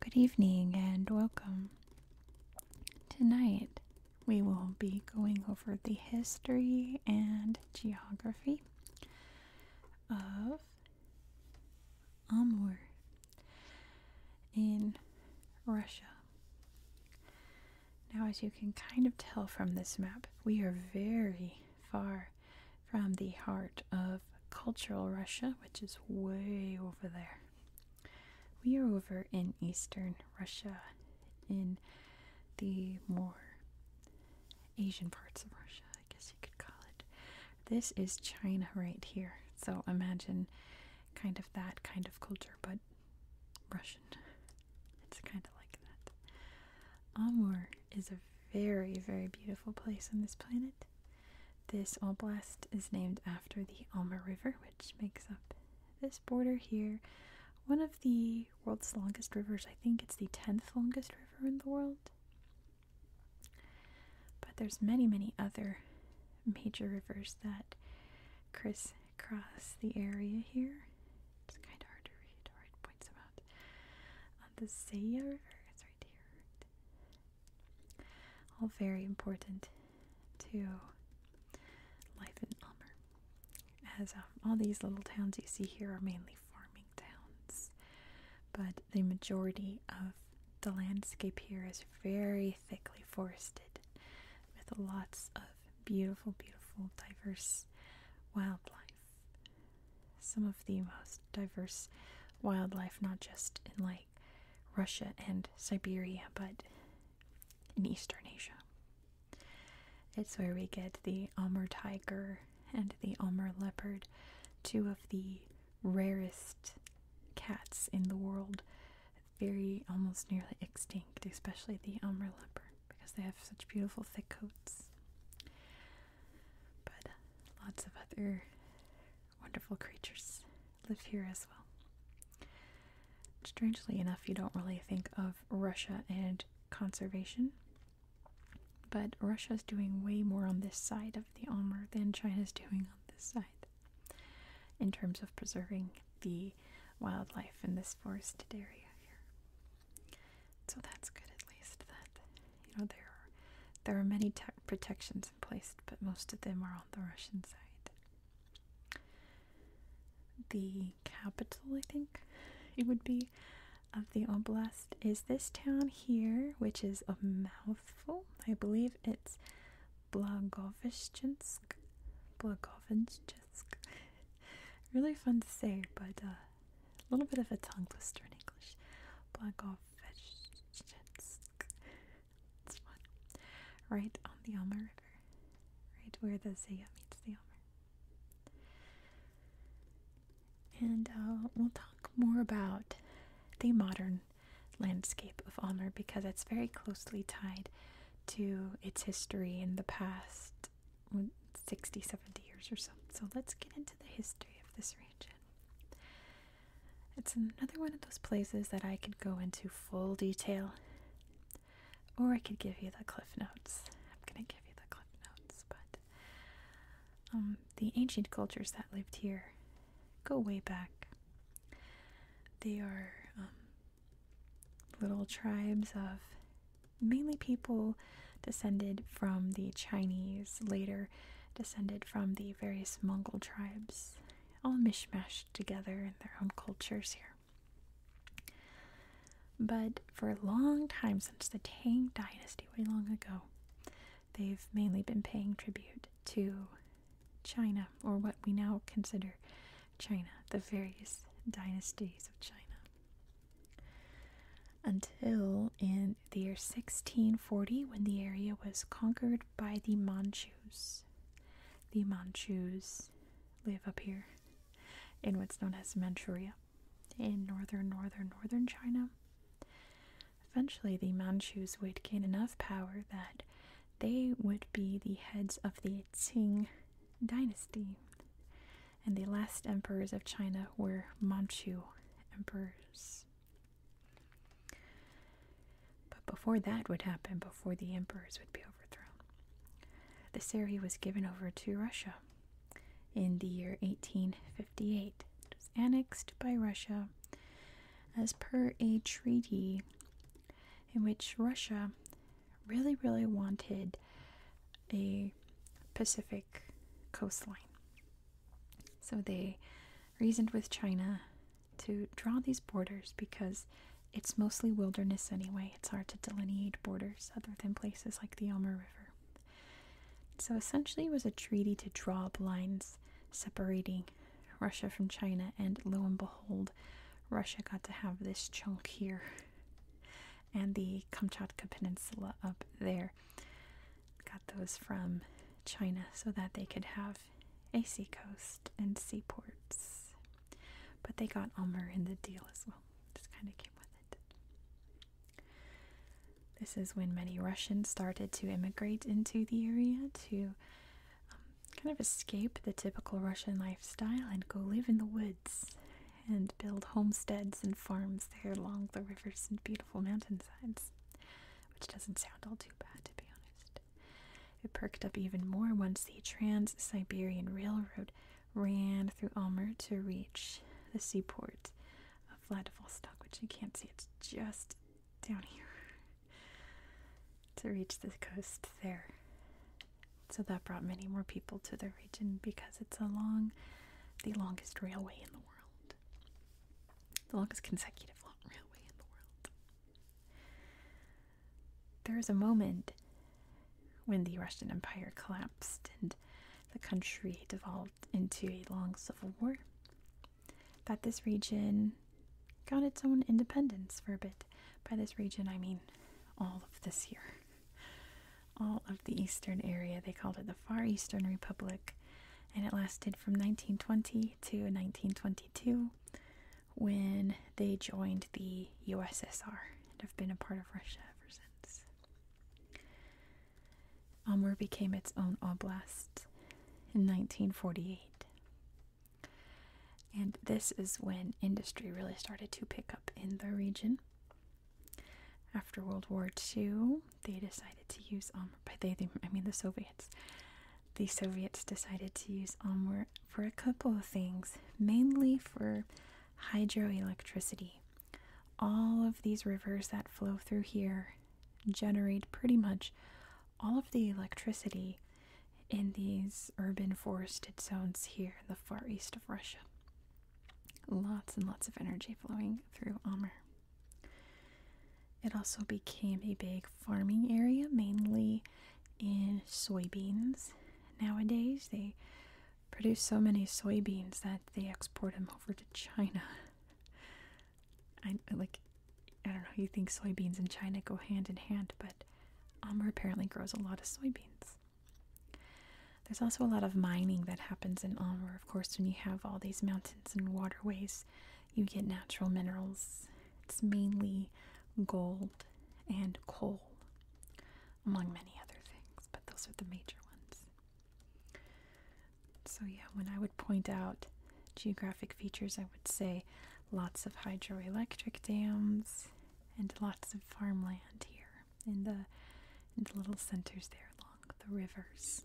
Good evening and welcome. Tonight we will be going over the history and geography of Amur in Russia. Now, as you can kind of tell from this map, we are very far from the heart of cultural Russia, which is way over there. We are over in eastern Russia, in the more Asian parts of Russia, I guess you could call it. This is China right here. So imagine kind of that kind of culture, but Russian. It's kind of like that. Amur is a very, very beautiful place on this planet. This oblast is named after the Alma River, which makes up this border here, one of the world's longest rivers. I think it's the 10th longest river in the world. But there's many, many other major rivers that crisscross the area here. It's kind of hard to read points them the Zaya River, it's right here. All very important to life in Almer, As um, all these little towns you see here are mainly farming towns, but the majority of the landscape here is very thickly forested with lots of beautiful, beautiful, diverse wildlife. Some of the most diverse wildlife, not just in like Russia and Siberia, but in Eastern Asia. It's where we get the Amur tiger and the Amur leopard, two of the rarest cats in the world, very almost nearly extinct, especially the Amur leopard because they have such beautiful thick coats. But lots of other wonderful creatures live here as well. Strangely enough, you don't really think of Russia and conservation, but Russia is doing way more on this side of the Almer than China is doing on this side in terms of preserving the wildlife in this forested area here. So that's good at least that you know there there are many protections in place, but most of them are on the Russian side the capital, I think it would be, of the oblast is this town here, which is a mouthful. I believe it's Blagoveshchensk. Blagoveshchensk. really fun to say, but uh, a little bit of a tongue twister in English. Blagoveshchensk it's fun. Right on the Alma River, right where the Zaya meets the Alma. And uh, we'll talk more about the modern landscape of Alma because it's very closely tied to its history in the past 60, 70 years or so. So let's get into the history of this region. It's another one of those places that I could go into full detail or I could give you the cliff notes. I'm gonna give you the cliff notes, but um, the ancient cultures that lived here go way back. They are um, little tribes of mainly people descended from the Chinese, later descended from the various Mongol tribes all mishmashed together in their own cultures here. But for a long time, since the Tang Dynasty, way long ago, they've mainly been paying tribute to China, or what we now consider China, the various dynasties of China. Until in the year 1640, when the area was conquered by the Manchus. The Manchus live up here in what's known as Manchuria in northern, northern, northern China. Eventually, the Manchus would gain enough power that they would be the heads of the Qing dynasty. And the last emperors of China were Manchu emperors. But before that would happen, before the emperors would be overthrown, this area was given over to Russia in the year 1858. It was annexed by Russia as per a treaty in which Russia really, really wanted a Pacific coastline. So they reasoned with China to draw these borders because it's mostly wilderness anyway. It's hard to delineate borders other than places like the Elmer River. So essentially, it was a treaty to draw lines separating Russia from China, and lo and behold, Russia got to have this chunk here and the Kamchatka Peninsula up there. Got those from China so that they could have a sea coast and seaports. But they got Ulmer in the deal as well. Just kind of came with it. This is when many Russians started to immigrate into the area to um, kind of escape the typical Russian lifestyle and go live in the woods and build homesteads and farms there along the rivers and beautiful mountainsides, which doesn't sound all too bad to be honest. It perked up even more once the Trans Siberian Railroad ran through Almer to reach the seaport of Vladivostok, which you can't see, it's just down here, to reach the coast there. So that brought many more people to the region because it's along the longest railway in the world. The longest consecutive long railway in the world. There was a moment when the Russian Empire collapsed and the country devolved into a long civil war that this region got its own independence for a bit. By this region, I mean all of this here. All of the eastern area. They called it the Far Eastern Republic, and it lasted from 1920 to 1922 when they joined the USSR and have been a part of Russia ever since. Amur became its own oblast in 1948. And this is when industry really started to pick up in the region. After World War II, they decided to use Amur. By they, I mean the Soviets the Soviets decided to use Amur for a couple of things, mainly for hydroelectricity. All of these rivers that flow through here generate pretty much all of the electricity in these urban forested zones here in the far east of Russia. Lots and lots of energy flowing through Amur. It also became a big farming area, mainly in soybeans. Nowadays, they produce so many soybeans that they export them over to China. I like I don't know, you think soybeans and China go hand in hand, but Amber apparently grows a lot of soybeans. There's also a lot of mining that happens in Amber. Of course, when you have all these mountains and waterways, you get natural minerals. It's mainly gold and coal, among many other things, but those are the major ones. So, yeah, when I would point out geographic features, I would say lots of hydroelectric dams and lots of farmland here in the, little centers there along the rivers.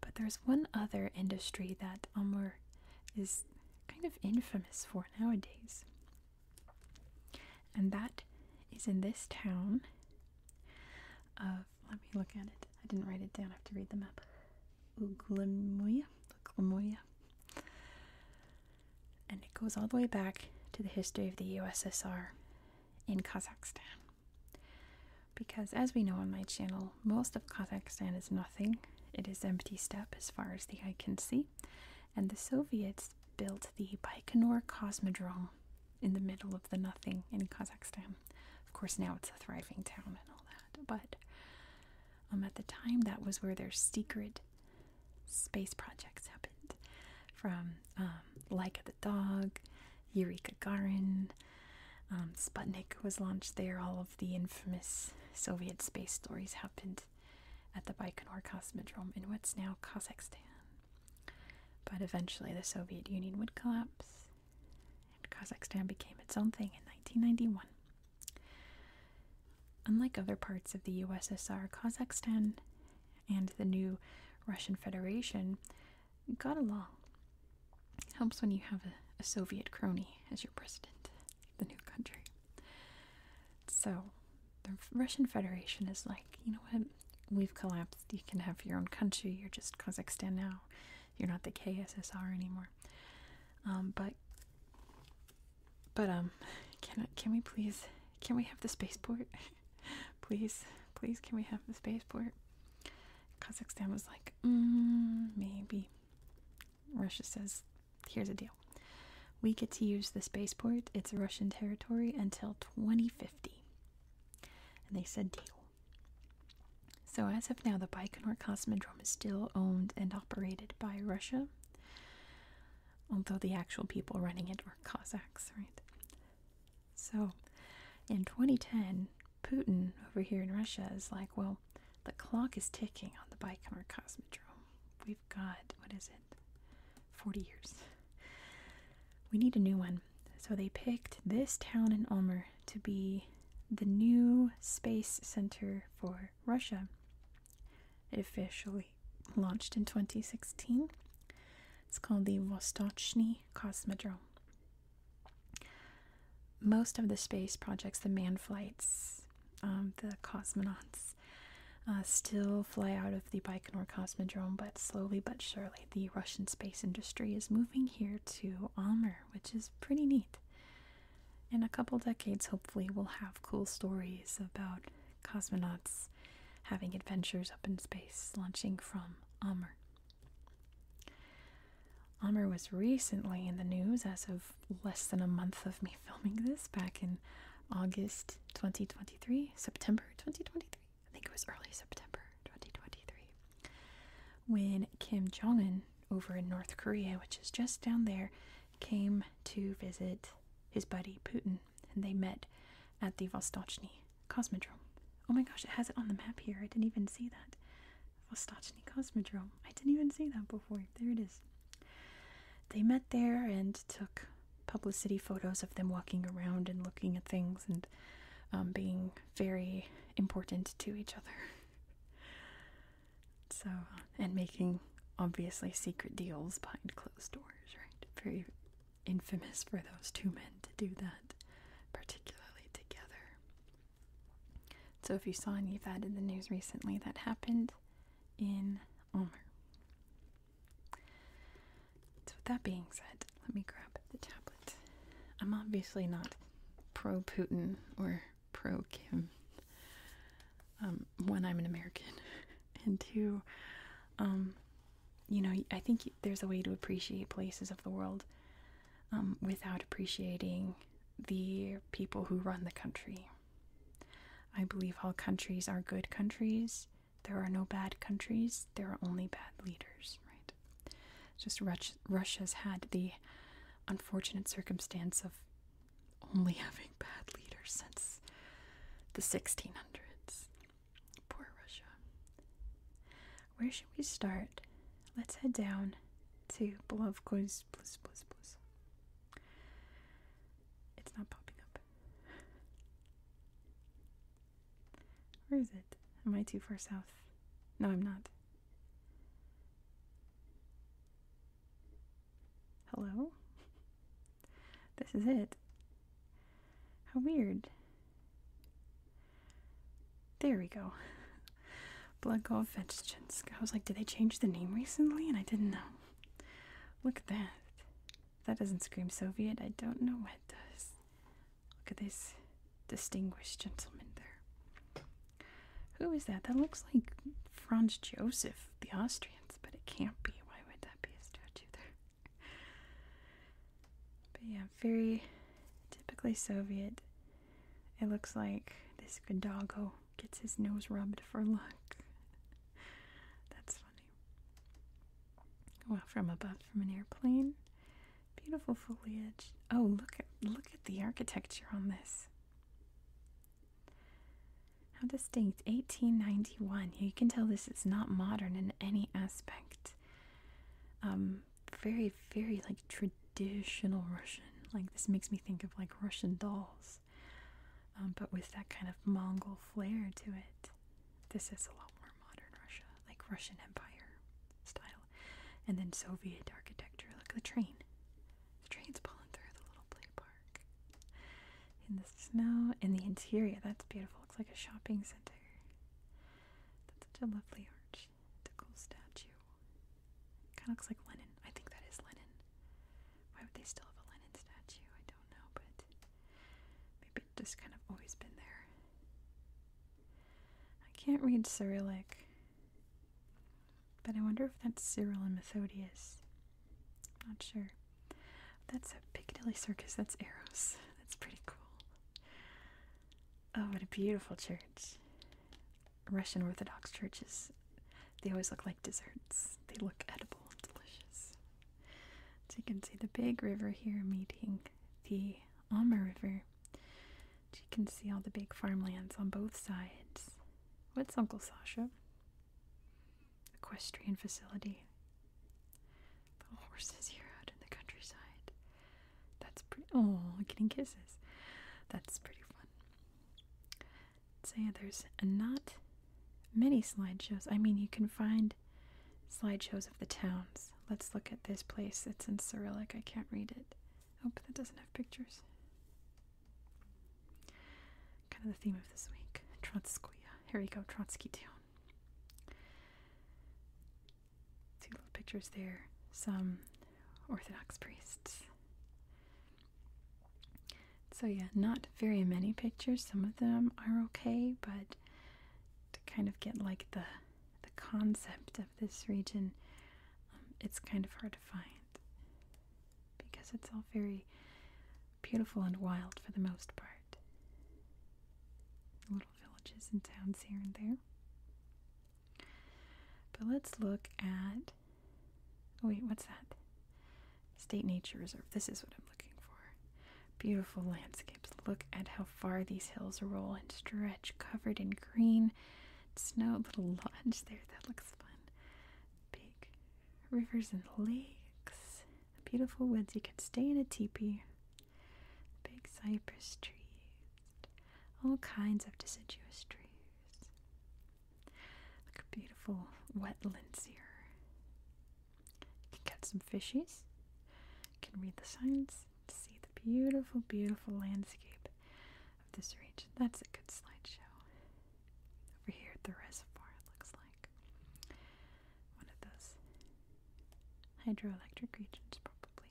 But there's one other industry that Amur is kind of infamous for nowadays. And that is in this town of, let me look at it. I didn't write it down, I have to read the map. Uglemuya. Uglemuya. And it goes all the way back to the history of the USSR in Kazakhstan. Because, as we know on my channel, most of Kazakhstan is nothing. It is empty steppe as far as the eye can see. And the Soviets built the Baikonur Cosmodrome in the middle of the nothing in Kazakhstan. Of course, now it's a thriving town and all that. But um, at the time, that was where their secret space projects happened from like um, Laika the Dog Eureka Garin, um, Sputnik was launched there. All of the infamous Soviet space stories happened at the Baikonur Cosmodrome in what's now Kazakhstan. But eventually the Soviet Union would collapse, and Kazakhstan became its own thing in 1991. Unlike other parts of the USSR, Kazakhstan and the new Russian Federation got along. Helps when you have a, Soviet crony as your president, the new country. So, the Russian Federation is like, you know what? We've collapsed. You can have your own country. You're just Kazakhstan now. You're not the KSSR anymore. Um, but, but um, can can we please can we have the spaceport? please, please, can we have the spaceport? Kazakhstan was like, Mm, maybe. Russia says, here's a deal. We get to use the spaceport, it's Russian territory until 2050. And they said deal. So, as of now, the Baikonur Cosmodrome is still owned and operated by Russia, although the actual people running it are Cossacks, right? So in 2010, Putin over here in Russia is like, well, the clock is ticking on the Baikonur Cosmodrome. We've got, what is it, 40 years. We need a new one. So they picked this town in Omer to be the new space center for Russia. It officially launched in 2016. It's called the Vostochny Cosmodrome. Most of the space projects, the manned flights, um, the cosmonauts, uh, still fly out of the Baikonur Cosmodrome, but slowly but surely, the Russian space industry is moving here to Amur, which is pretty neat. In a couple decades, hopefully, we'll have cool stories about cosmonauts having adventures up in space, launching from Amur. Amr was recently in the news as of less than a month of me filming this back in August 2023, September 2023. I think it was early September 2023 when Kim Jong un over in North Korea, which is just down there, came to visit his buddy Putin and they met at the Vostochny Cosmodrome. Oh my gosh, it has it on the map here. I didn't even see that. Vostochny oh, Cosmodrome. I didn't even see that before. There it is. They met there and took publicity photos of them walking around and looking at things and um, being very important to each other. so, uh, and making obviously secret deals behind closed doors, right? Very infamous for those two men to do that, particularly together. So, if you saw any of that in the news recently, that happened in Omer. So, with that being said, let me grab the tablet. I'm obviously not pro Putin or pro Kim. Um, when I'm an American, and two, um, you know, I think there's a way to appreciate places of the world um, without appreciating the people who run the country. I believe all countries are good countries. There are no bad countries. There are only bad leaders, right? Just Russia's had the unfortunate circumstance of only having bad leaders since the 1600s. Poor Russia. Where should we start? Let's head down to Belovko's Bliss Bliss It's not popping up. Where is it? Am I too far south? No, I'm not. Hello? this is it. How weird. There we go. Blood Gold Vegetables. I was like, did they change the name recently? And I didn't know. Look at that. that doesn't scream Soviet. I don't know what does. Look at this distinguished gentleman there. Who is that? That looks like Franz Joseph, the Austrians, but it can't be. Why would that be a statue there? But yeah, very typically Soviet. It looks like this doggo gets his nose rubbed for luck. That's funny. Well, from above, from an airplane. Beautiful foliage. Oh, look at look at the architecture on this. How distinct. 1891. You can tell this is not modern in any aspect. Um, very very like traditional russian like this makes me think of like russian dolls um, but with that kind of mongol flair to it this is a lot more modern russia like russian empire style and then soviet architecture look at the train the train's pulling through the little play park in the snow in the interior that's beautiful looks like a shopping center that's such a lovely arch. It's cool statue. Kind of looks like Lenin. I think that is Lenin. Why would they still have a Lenin statue? I don't know, but maybe it just kind of always been there. I can't read Cyrillic, but I wonder if that's Cyril and Methodius. I'm not sure. That's a Piccadilly Circus. That's Eros. That's pretty cool. Oh, what a beautiful church. Russian Orthodox churches, they always look like desserts. They look edible and delicious. So you can see the big river here meeting the Alma River. So you can see all the big farmlands on both sides. What's Uncle Sasha? equestrian facility. The horses here out in the countryside. That's pretty. Oh, getting kisses. That's pretty fun. Say, yeah, there's not many slideshows. I mean, you can find slideshows of the towns. Let's look at this place. It's in Cyrillic. I can't read it. Oh, but that doesn't have pictures. Kind of the theme of this week. Trotskoye. Here we go, Trotsky Two little pictures there, some Orthodox priests. So, yeah, not very many pictures. Some of them are okay, but to kind of get like the, the concept of this region, um, it's kind of hard to find because it's all very beautiful and wild for the most part. Little villages and towns here and there. But let's look at. Oh wait, what's that? State Nature Reserve. This is what I'm looking for. Beautiful landscapes. Look at how far these hills roll and stretch, covered in green snow. Little lodge there. That looks fun. Big rivers and lakes beautiful woods. You could stay in a teepee. big cypress trees. All kinds of deciduous trees. beautiful wetlands here. You can catch some fishies. You can read the signs see the beautiful, beautiful landscape of this region. That's a good slideshow. Over here at the reservoir, it looks like one of those hydroelectric regions, probably.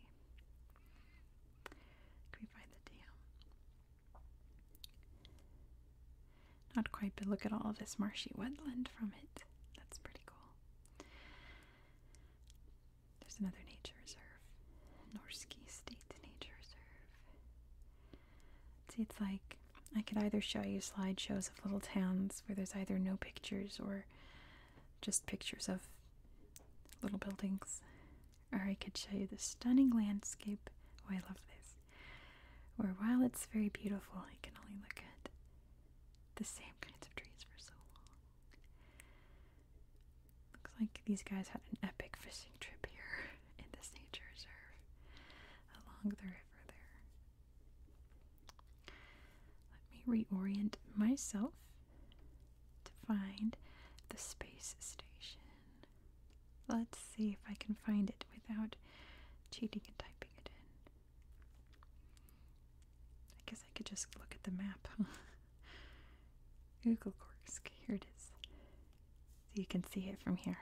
Can we find the dam? Not quite, but look at all this marshy wetland from it. That's pretty cool. There's another nature reserve, Norski State Nature Reserve. See, it's like I could either show you slideshows of little towns where there's either no pictures or just pictures of little buildings, or I could show you the stunning landscape. Oh, I love this. Where while it's very beautiful, I can only look at the same kinds of trees for so long. Looks like these guys had an epic fishing trip here in this nature reserve along the river there. Let me reorient myself to find the space station. Let's see if I can find it without cheating and typing it in. I guess I could just look at the map. Google Korsk, here it is. So you can see it from here.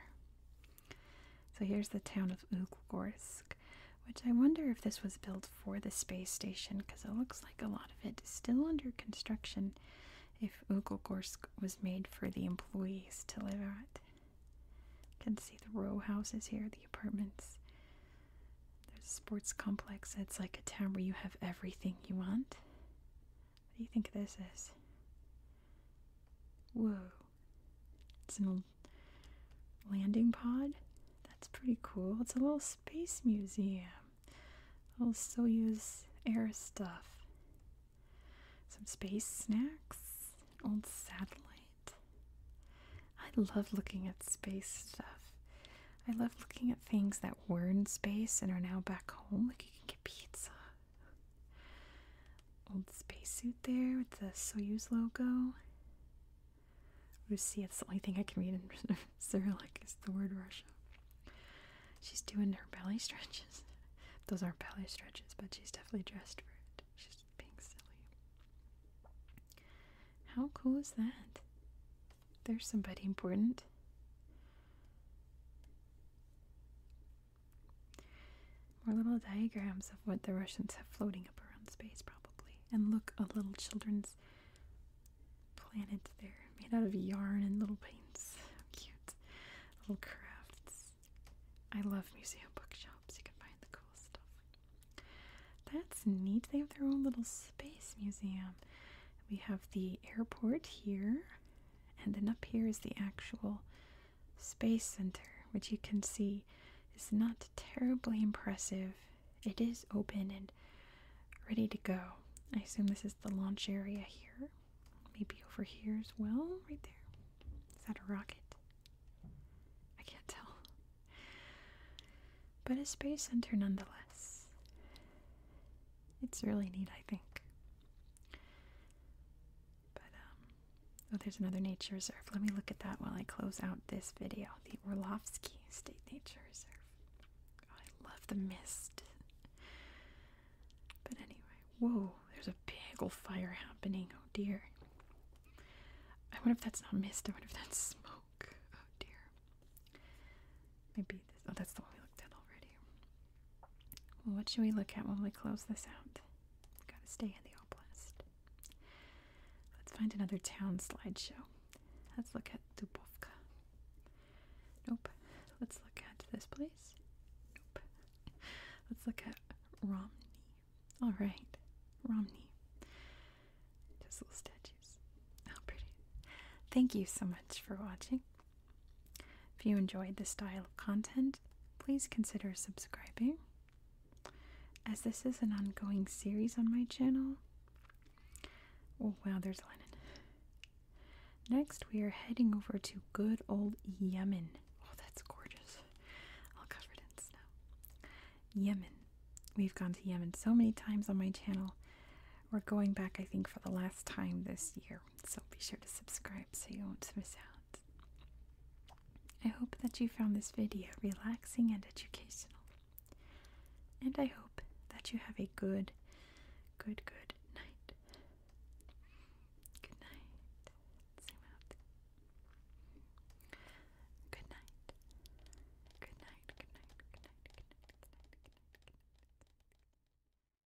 So here's the town of Uglorsk, which I wonder if this was built for the space station because it looks like a lot of it is still under construction if Uglorsk was made for the employees to live at. You can see the row houses here, the apartments. There's a sports complex. It's like a town where you have everything you want. What do you think this is? Whoa. It's an old landing pod. That's pretty cool. It's a little space museum. Little Soyuz air stuff. Some space snacks. Old satellite. I love looking at space stuff. I love looking at things that were in space and are now back home. Like you can get pizza Old spacesuit there with the Soyuz logo. Russia, that's the only thing I can read in Cyrillic is the word Russia. She's doing her belly stretches. Those aren't belly stretches, but she's definitely dressed for it. She's being silly. How cool is that? There's somebody important. More little diagrams of what the Russians have floating up around space, probably. And look, a little children's planet there, made out of yarn and little paints. cute. Little crafts. I love museum bookshops. You can find the cool stuff. That's neat. They have their own little space museum. We have the airport here, and then up here is the actual Space Center, which you can see is not terribly impressive. It is open and ready to go. I assume this is the launch area here. Maybe over here as well, right there. Is that a rocket? I can't tell. But a space center nonetheless. It's really neat, I think. But um, oh, there's another nature reserve. Let me look at that while I close out this video. The Orlovsky State Nature Reserve. Oh, I love the mist. but anyway, whoa, there's a big old fire happening. Oh dear. I wonder if that's not mist. I wonder if that's smoke. Oh dear. Maybe Oh, that's the one we looked at already what should we look at when we close this out? Gotta stay in the oblast. Let's find another town slideshow. Let's look at Dubovka. Nope. Let's look at this place. Nope. Let's look at Romney. Alright. Romney. Just little statues. How oh, pretty. Thank you so much for watching. If you enjoyed this style of content, please consider subscribing. As this is an ongoing series on my channel, oh wow, there's Lennon. Next, we are heading over to good old Yemen. Oh, that's gorgeous. All covered in snow. Yemen. We've gone to Yemen so many times on my channel. We're going back, I think, for the last time this year so be sure to subscribe so you won't miss out. I hope that you found this video relaxing and educational. And I hope that you have a good, good, good night. Good night. Zoom out. Good night. Good night. Good night. Good night. Good night. Good night. Good night. Good night. Good night.